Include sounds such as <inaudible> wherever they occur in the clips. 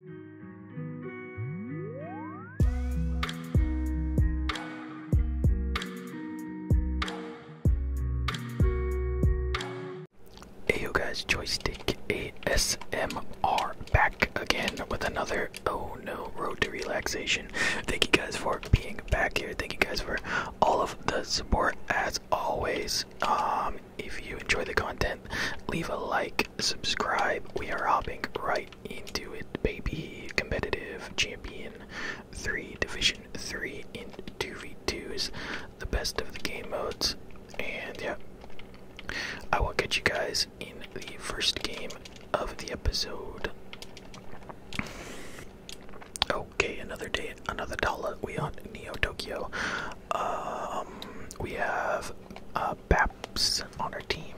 Hey you guys, Joystick ASMR back again with another Oh No Road to Relaxation. Thank you guys for being back here. Thank you guys for all of the support as always. Um, if you enjoy the content, leave a like, subscribe. We are hopping right into it, baby. Competitive champion three, division three in two v twos, the best of the game modes, and yeah. I will get you guys in the first game of the episode. Okay, another day, another dollar. We on Neo Tokyo. Um, we have uh, Baps on our team,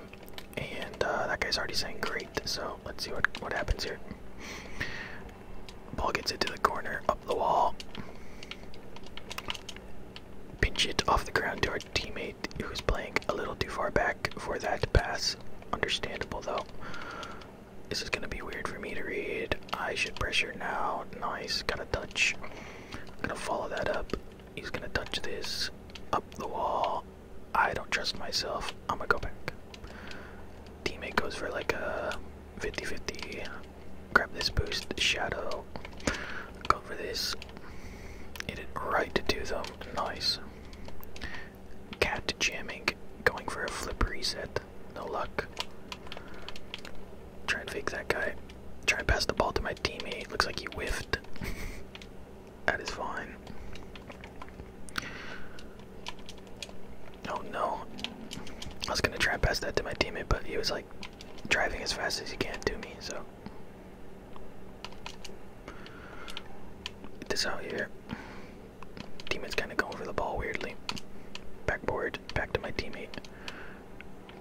and uh, that guy's already saying great. So let's see what what happens here. Ball gets into the corner, up the wall. Pinch it off the ground to our teammate, who's playing a little too far back for that pass. Understandable though. This is gonna be weird for me to read. I should pressure now. Nice, got a touch. I'm gonna follow that up. He's gonna touch this up the wall. I don't trust myself. I'm gonna go back. Teammate goes for like a 50 50. Grab this boost, shadow. Go for this. Hit it right to do them. Nice. Cat jamming. Going for a flip reset. No luck. Try and fake that guy. Try to pass the ball to my teammate. Looks like he whiffed. <laughs> that is fine. Oh no. I was gonna try and pass that to my teammate, but he was like driving as fast as he can to me, so. Get this out here. Teammate's kinda going over the ball weirdly. Backboard, back to my teammate.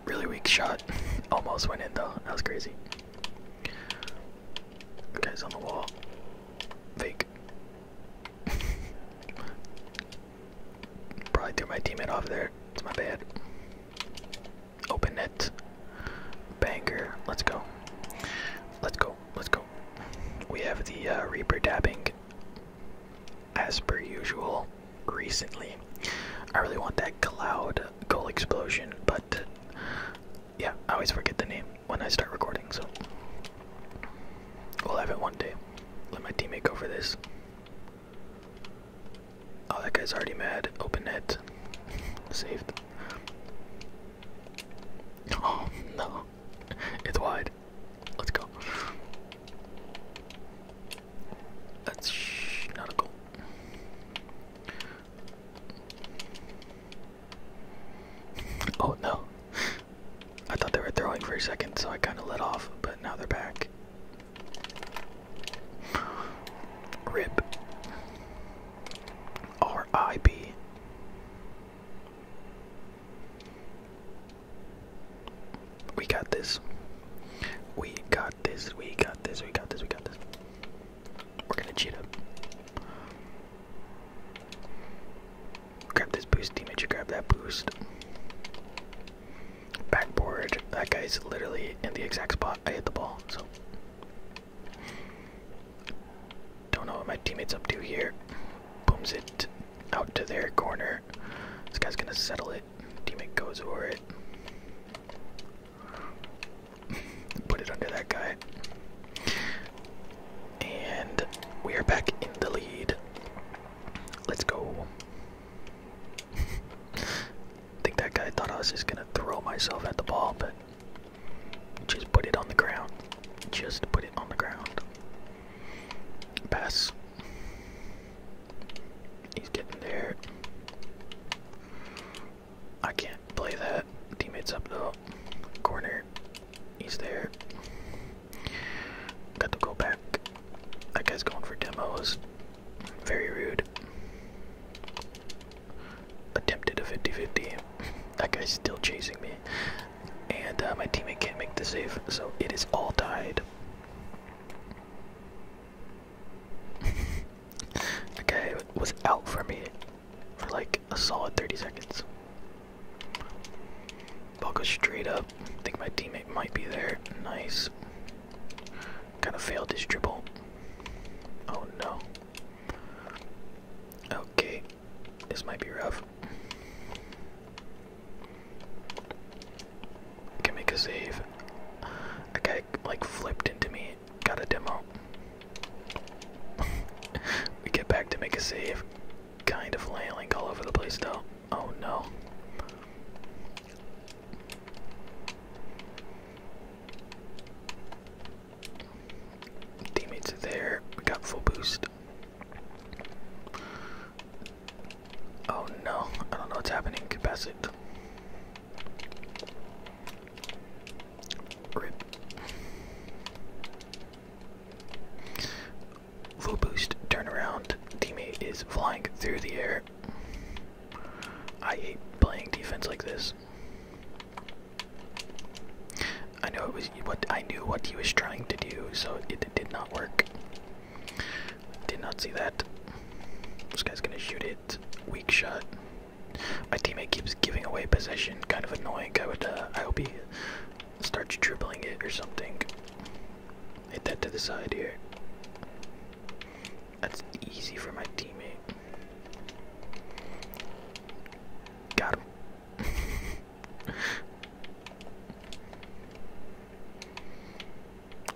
Really weak shot. <laughs> Almost went in though. That was crazy. Guy's on the wall. Fake. <laughs> Probably threw my teammate off there. It's my bad. Open net. Banger. Let's go. Let's go. Let's go. We have the uh, Reaper dabbing as per usual recently. I really want that cloud goal explosion, but yeah, I always forget the name when I start recording, so we'll have it one day. Let my teammate go for this. Oh, that guy's already mad. Open net. <laughs> Saved. Oh, no. It's wide. Let's go. That's not a goal. Oh no. I thought they were throwing for a second, so I kind of let off, but now they're back. RIP. R.I.B. We got this. We got this, we got this, we got this, we got this. We're gonna cheat up. Grab this boost, teammate, you grab that boost. Backboard. That guy's literally in the exact spot I hit the ball, so. Don't know what my teammate's up to here. Booms it out to their corner. This guy's gonna settle it. Teammate goes over it. Put it under that guy. And we are back in the lead. Let's go. <laughs> think that guy thought I was just gonna throw myself at the ball, but just put it on the ground. Just put it on the ground. Pass. He's getting there. I can't play that. Teammates up the corner. He's there. Got to go back. That guy's going for demos. Very rude. Attempted a 50 50. That guy's still chasing me. And uh, my teammate can't make the save, so it is all tied. Okay, <laughs> guy was out for me for like a solid 30 seconds. Ball goes straight up. think my teammate might be there. Nice. Kind of failed his dribble. Oh no. Okay. This might be rough. Can make a save. A like flipped into me. Got a demo. <laughs> we get back to make a save. Kind of flailing all over the place though. Oh no. Teammates are there. We got full boost. Oh no, I don't know what's happening. Pass Rip. Low boost, turnaround, teammate is flying through the air. I hate playing defense like this. I know it was what I knew what he was trying to do, so it did not work. Did not see that. This guy's gonna shoot it. Weak shot. My teammate keeps giving away possession. Kind of annoying. I would. Uh, I hope he starts dribbling it or something. Hit that to the side here. That's easy for my teammate. Got him. <laughs>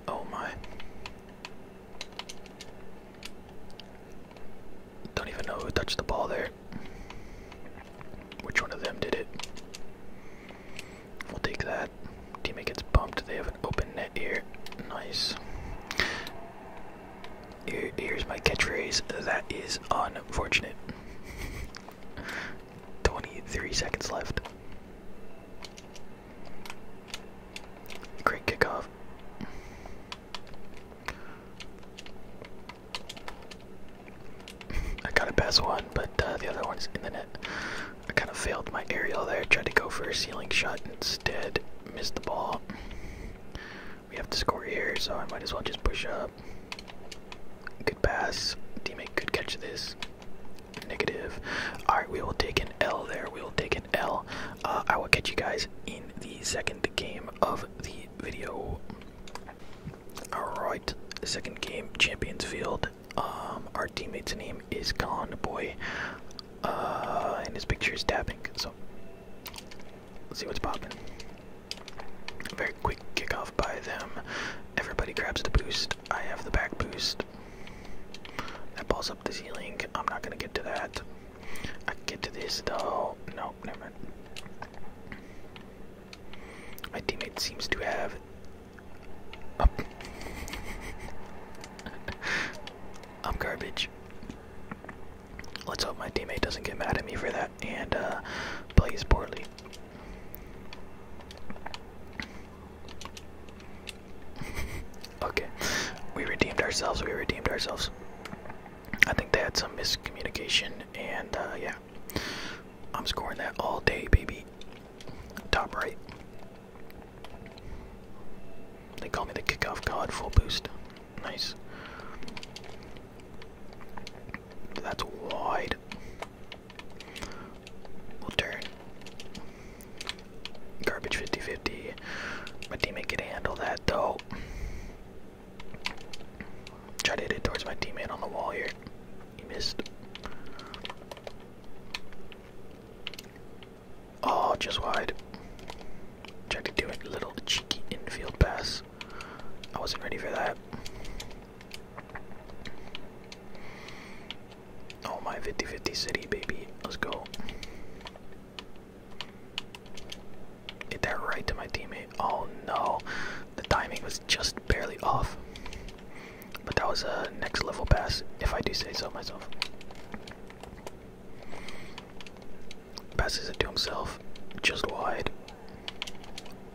Oh my. Don't even know who touched the ball there. Which one of them did it? We'll take that. Teammate gets bumped. They have an open net here. Nice. here's my catchphrase. That is unfortunate. <laughs> 23 seconds left. Great kickoff. I got a pass one, but uh, the other one's in the net. I kind of failed my aerial there. Tried to go for a ceiling shot instead. Missed the ball. We have to score here, so I might as well just push up. Good pass. Teammate Good catch this negative. Alright, we will take an L there. We will take an L. Uh, I will catch you guys in the second game of the video. Alright, second game, Champions Field. Um, our teammate's name is Gone Boy, uh, and his picture is tapping. So, let's see what's popping. Very quick kickoff by them. Everybody grabs the boost. I have the back boost. That balls up the ceiling. I'm not gonna get to that. I get to this though. Nope, never mind. My teammate seems to have. Oh. <laughs> I'm garbage. Let's hope my teammate doesn't get mad at me for that and uh, plays poorly okay, <laughs> we redeemed ourselves. We redeemed ourselves. I think they had some miscommunication, and uh, yeah, I'm scoring that all day, baby. Top right. They call me the kickoff god. Full boost. Nice. That's wide. We'll turn. Garbage 50-50. My teammate can handle that though. Try to hit it towards my teammate on the wall here. He missed. Oh, just wide. Tried to do a little cheeky infield pass. I wasn't ready for that. Oh my 50-50 city baby. Let's go. Hit that right to my teammate. Oh no. The timing was just barely off. But that was a next level pass, if I do say so myself. Passes it to himself. Just wide.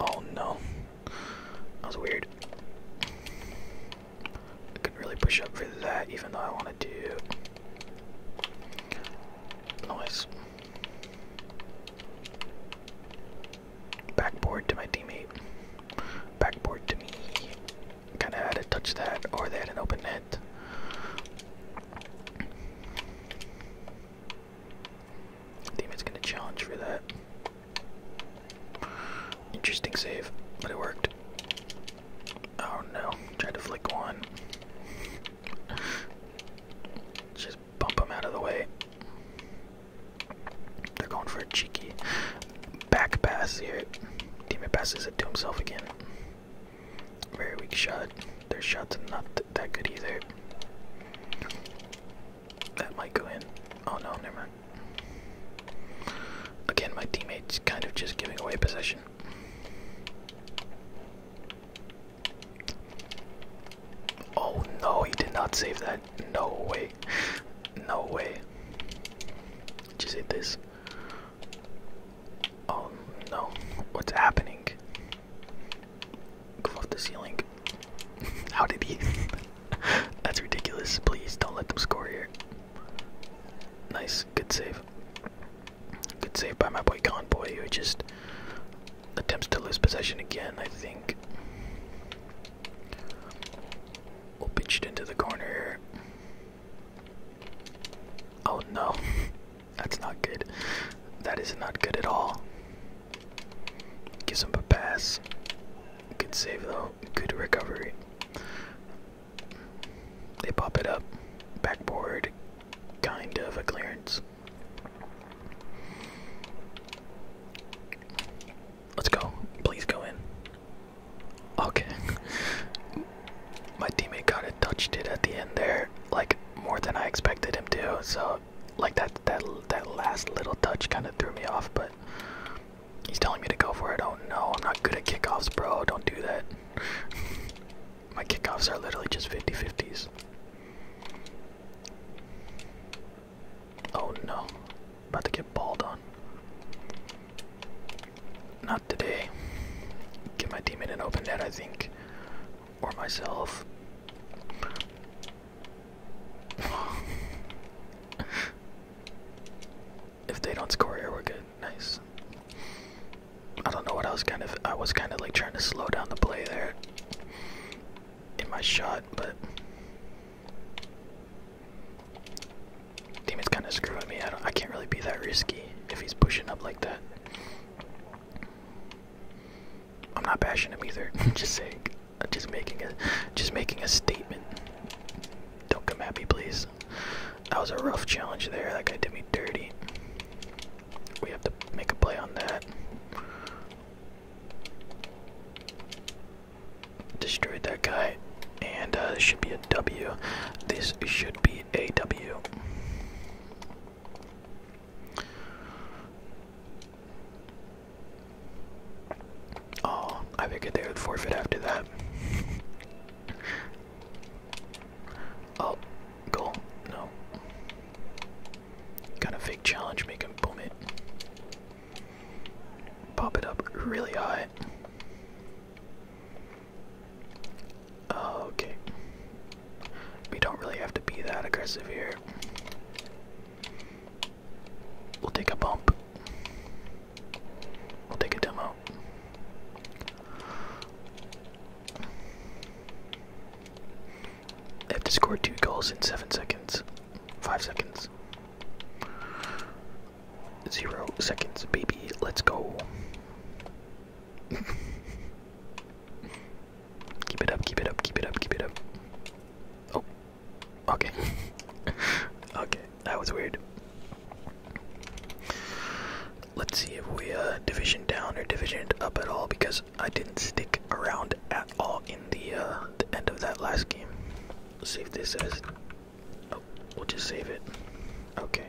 Oh no. That was weird. I could really push up for that, even though I want to do nice backboard to my teammate. Backboard to me. Kind of had to touch that, or they had an open net. Teammate's gonna challenge for that. Interesting save, but it worked. Oh no, tried to flick one. Just bump him out of the way. They're going for a cheeky back pass here. Teammate passes it to himself again. Very weak shot. Their shot's not that good either. That might go in. Oh no, never mind. Again, my teammates kind of just giving away possession. Oh no, he did not save that. No way. No way. Just hit this. Oh no. What's happening? Go off the ceiling. How did he? <laughs> That's ridiculous. Please don't let them score here. Nice, good save. Good save by my boy Conboy, who just attempts to lose possession again, I think. We'll pitch it into the corner. Oh no, <laughs> that's not good. That is not good at all. Gives him a pass. Good save though. Good recovery. They pop it up. Backboard. Kind of a clearance. Let's go. Please go in. Okay. <laughs> My teammate kind of touched it at the end there, like more than I expected him to. So, like that that that last little touch kind of threw me off, but He's telling me to go for it. Oh no, I'm not good at kickoffs, bro. Don't do that. <laughs> My kickoffs are literally just 50 50s. Oh no. About to get balled on. Not today. Get my teammate an open net, I think. Or myself. <laughs> If they don't score here, we're good. Nice. I don't know what I was kind of. I was kind of like trying to slow down the play there in my shot, but Demon's kind of screwing me. I don't. I can't really be that risky if he's pushing up like that. I'm not bashing him either. <laughs> just saying. Just making a. Just making a statement. Don't come at me, please. That was a rough challenge there. That guy did me dirty. We have to make a play on that. Destroyed that guy. And uh, this should be a W. This should be a W. Oh, I figured they would forfeit after that. Oh, goal. No. Got a fake challenge, make him boom it. Pop it up really high. Okay. We don't really have to be that aggressive here. We'll take a bump. We'll take a demo. They have to score two goals in seven seconds. Five seconds. Zero seconds, baby. Let's go. <laughs> keep it up, keep it up, keep it up, keep it up. Oh. Okay. <laughs> okay. That was weird. Let's see if we uh, division down or division up at all because I didn't stick around at all in the, uh, the end of that last game. Let's save this as. Oh, we'll just save it. Okay.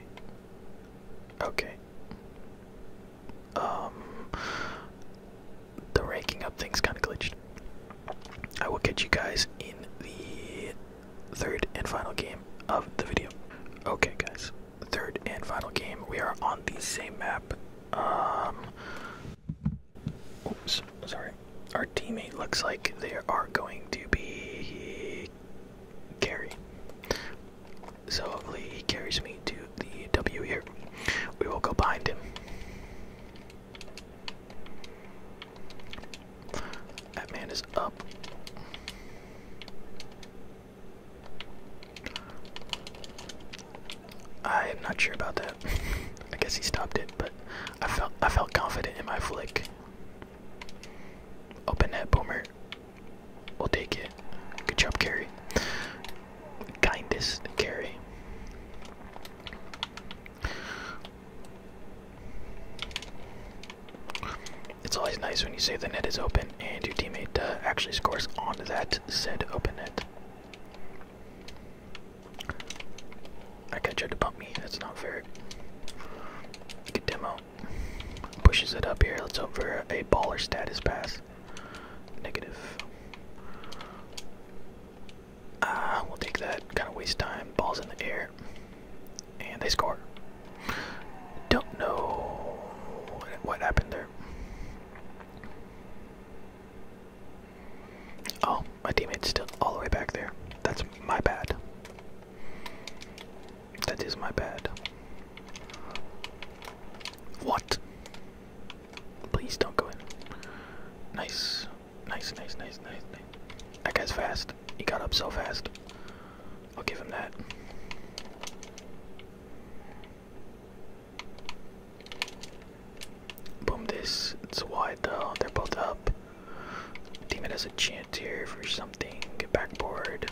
Okay. Um, the ranking up thing's kind of glitched. I will catch you guys in the third and final game of the video. Okay, guys, third and final game. We are on the same map. Um, oops, sorry. Our teammate looks like they are going to be carry. So hopefully he carries me to the W here. We will go behind him. That man is up. I am not sure about that. <laughs> I guess he stopped it, but I felt I felt confident in my flick. Open that boomer. We'll take it. Good job, Carrie. Kindest Carrie. It's always nice when you say the net is open and your teammate uh, actually scores on that said open net. I got tried to bump me. That's not fair. Good demo. Pushes it up here. Let's hope for a baller status pass. Negative. Ah, we'll take that. Kind of waste time. Ball's in the air. And they score. Don't know what happened there. Oh, my teammate's still all the way back there. That's my bad. That is my bad. What? Please don't go in. Nice. Nice, nice, nice, nice, nice. That guy's fast. He got up so fast. I'll give him that. Boom this. It's wide though. They're both up. Demon has a chance here for something. Backboard.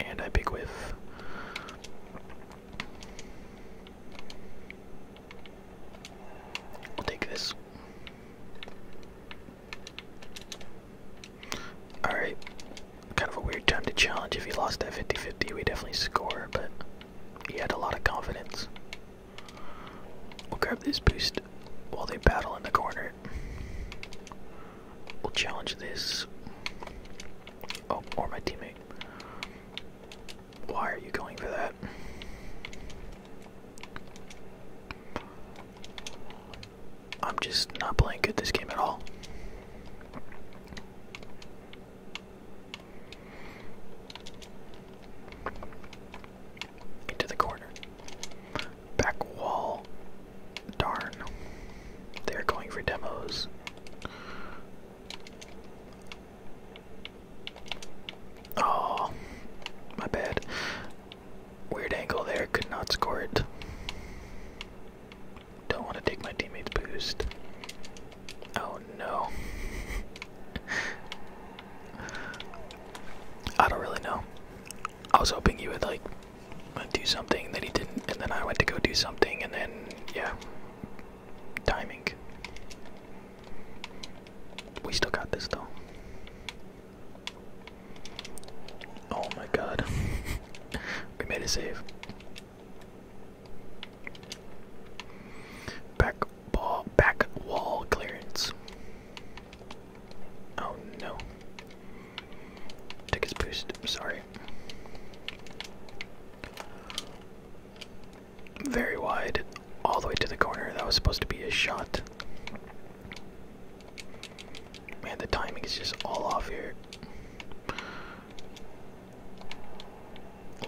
And I big whiff. I'll take this. Alright. Kind of a weird time to challenge. If he lost that 50 50, we definitely score, but he had a lot of confidence. We'll grab this boost while they battle in the corner. We'll challenge this. Oh, or my teammate. Why are you going for that? I'm just not playing good this game at all. Into the corner. Back wall. Darn. They're going for demos. Oh, my bad. Weird angle there, could not score it. Don't want to take my teammate's boost. Oh no. <laughs> I don't really know. I was hoping he would like do something that he didn't, and then I went to go do something, and then, yeah. Timing. We still got this though. Oh my god. <laughs> we made a save. Back ball back wall clearance. Oh no. Took his boost, sorry. Very wide, all the way to the corner. That was supposed to be a shot. Man, the timing is just all off here.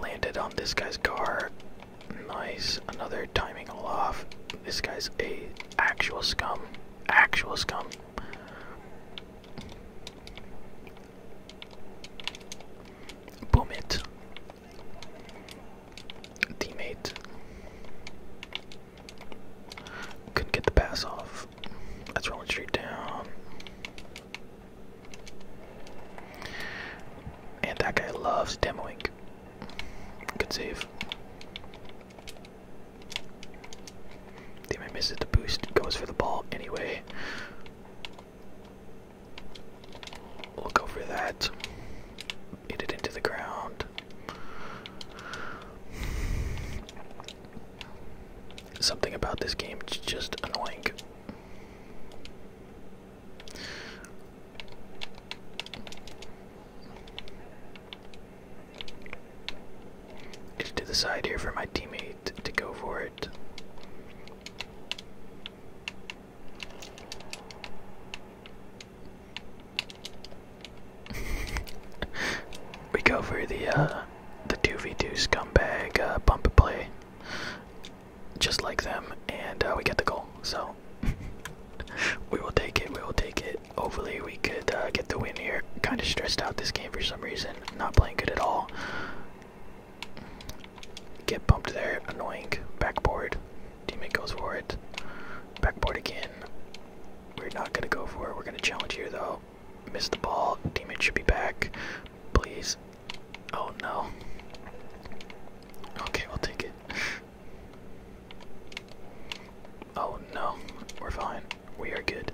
Landed on this guy's car. Nice. Another timing all off. This guy's a actual scum. Actual scum. Boom it. Teammate couldn't get the pass off. That's rolling straight down. And that guy loves demoing. Good save. Teammate misses the boost, goes for the ball anyway. We'll that hit it into the ground. Something about this game is just annoying. to the side here for my teammate to go for it. <laughs> we go for the uh, the two v two scumbag uh, pump and play, just like them, and uh, we get the goal. So <laughs> we will take it. We will take it. Hopefully, we could get the win here. Kind of stressed out this game for some reason. Not playing good at all. Get bumped there. Annoying. Backboard. Teammate goes for it. Backboard again. We're not gonna go for it. We're gonna challenge here though. Missed the ball. Teammate should be back. Please. Oh no. Okay, we'll take it. Oh no. We're fine. We are good.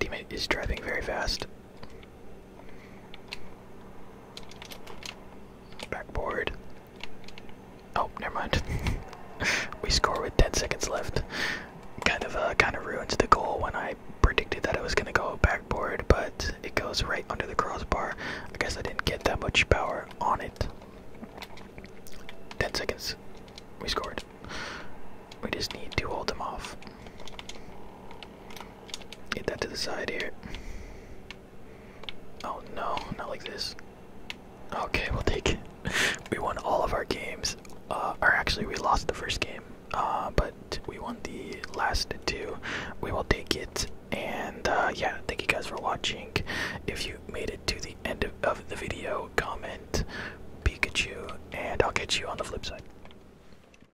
Teammate is driving very fast. Backboard. Oh, never mind. <laughs> we score with 10 seconds left. Kind of uh, kind of ruins the goal when I predicted that it was gonna go backboard, but it goes right under the crossbar. I guess I didn't get that much power on it. 10 seconds. We scored. We just need to hold them off. Get that to the side here. Oh no, not like this. Okay, <laughs> we'll take it. we won all of our games. Uh, or actually, we lost the first game. Uh, but we won the last two. We will take it. And uh, yeah, thank you guys for watching. If you made it to the end of, of the video, comment Pikachu, and I'll catch you on the flip side.